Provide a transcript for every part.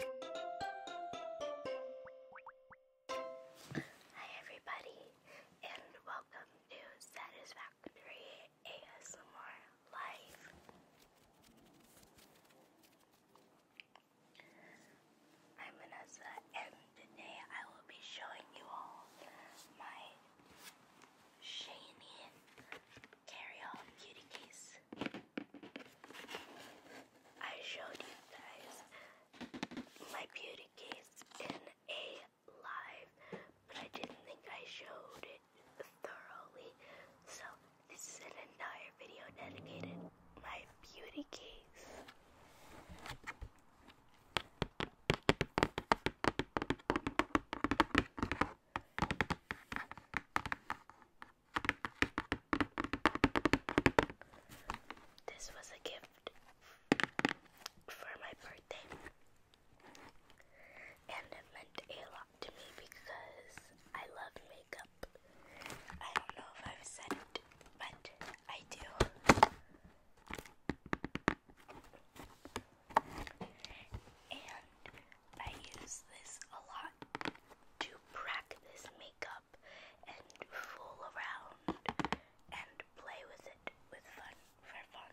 Hi everybody and welcome to Satisfactory ASMR Live. I'm Vanessa and today I will be showing you all my shiny carry-on case. I showed you guys my beauty case in a live, but I didn't think I showed it thoroughly. So this is an entire video dedicated my beauty case. This was a gift for my birthday, and it meant a lot to me because I love makeup. I don't know if I've said it, but I do. And I use this a lot to practice makeup and fool around and play with it with fun for fun.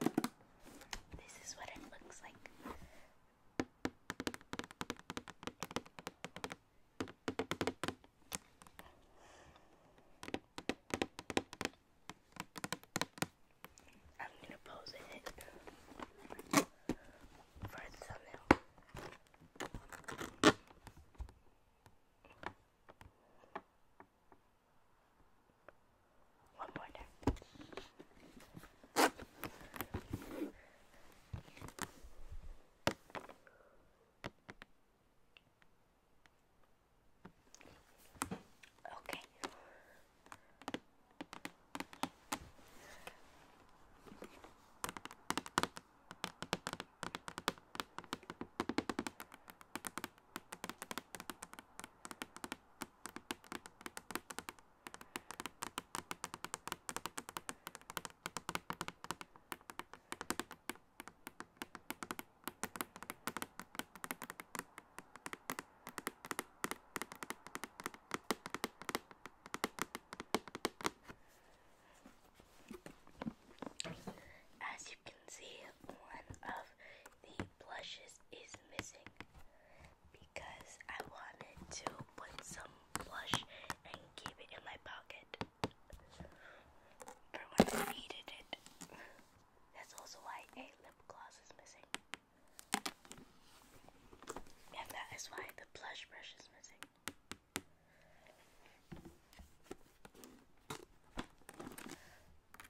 This is what it looks like. I'm gonna pose it for thumbnail. One more there. Okay. As you can see, one of the blushes is missing because I wanted to put some blush and keep it in my pocket for when I needed it. That's also why a lip gloss is missing. And that is why the blush brush is missing.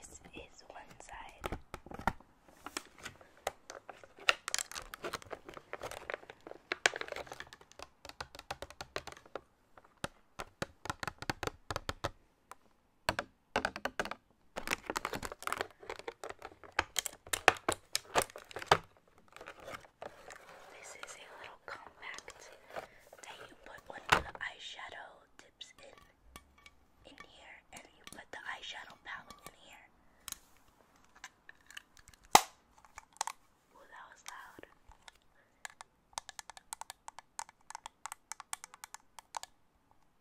So this is one side. This is a little compact that you put one of the eyeshadow tips in in here and you put the eyeshadow palette in here. Ooh, that was loud.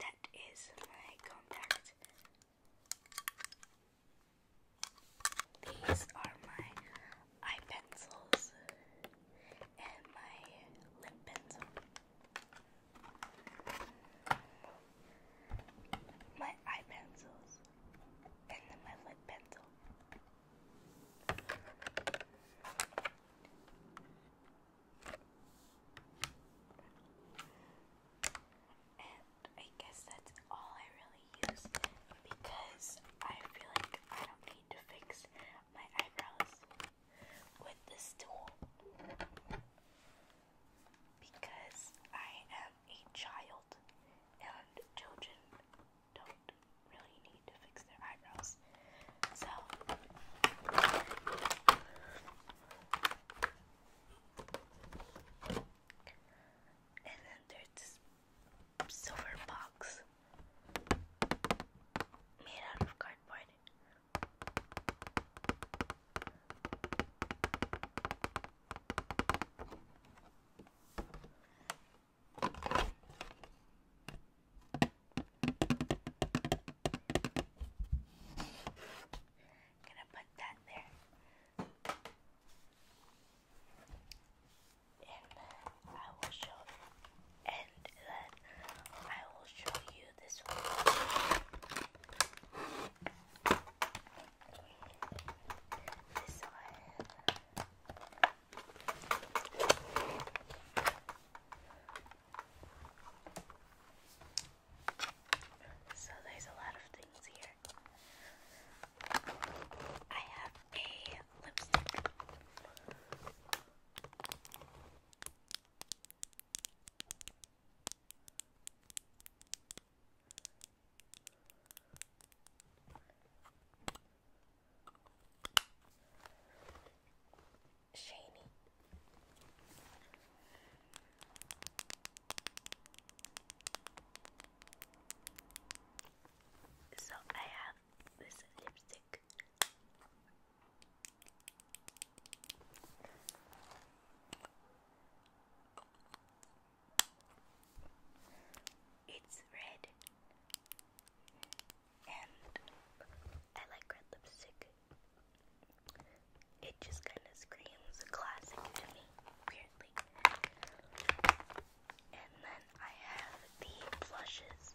That is my contact. These are my eye pencils and my lip pencil. My eye pencils and my lip pencil. And I guess that's all I really use because I feel like I don't need to fix my eyebrows with this tool because I am a child and children don't really need to fix their eyebrows this. So and then there's silver box made out of cardboard. I'm gonna put that there. And I will show and then I will show you this one. This one. So there's a lot of things here. I have a lipstick shiny. So I have this lipstick. It's red and I like red lipstick. It just kind of screams classic to me, weirdly. And then I have the blushes.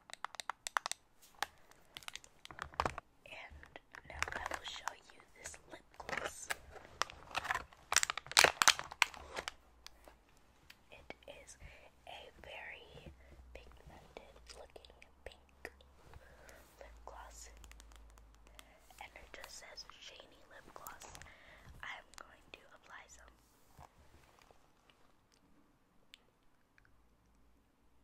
And now I will show you this lip gloss. It is a very pigmented looking pink lip gloss. And it just says shiny lip gloss. I'm going to apply some.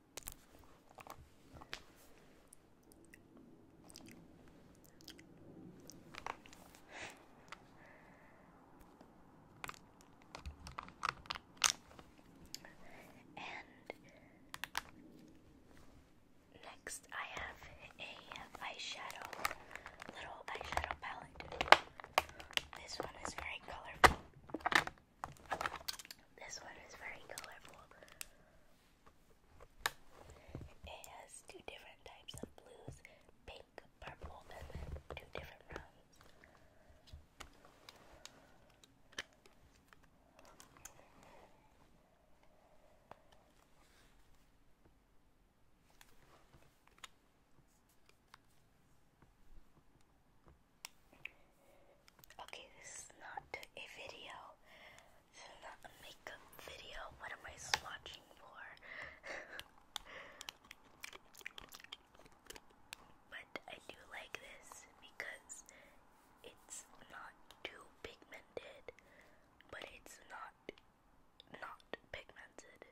And next, I have a eyeshadow, little eyeshadow palette. This one is very colorful. This one is very colorful. It has two different types of blues pink, purple, and two different rounds. Okay, this is not a video. This not a makeup video. What am I swatching for? but I do like this because it's not too pigmented, but it's not not pigmented.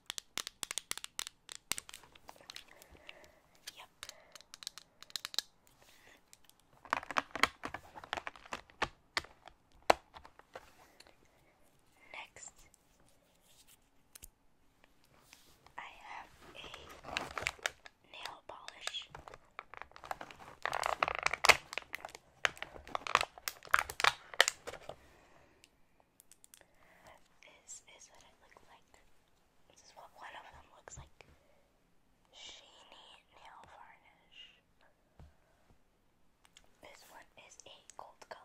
Yep. Next, I have a nail polish is is what it looked like. This is what one of them looks like. Sheeny nail varnish. This one is a gold color.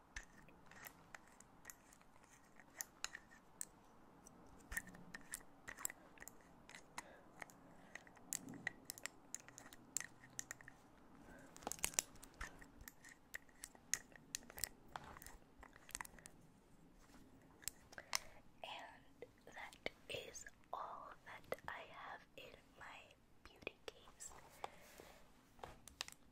And that is all that I have in my beauty case.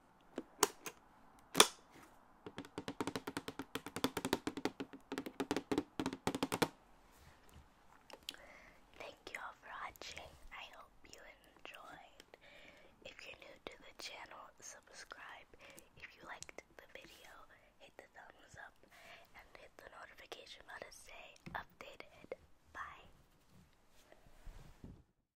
Thank you all for watching. I hope you enjoyed. If you're new to the channel, subscribe. If you liked the video, hit the thumbs up and hit the notification bell to stay updated. Bye.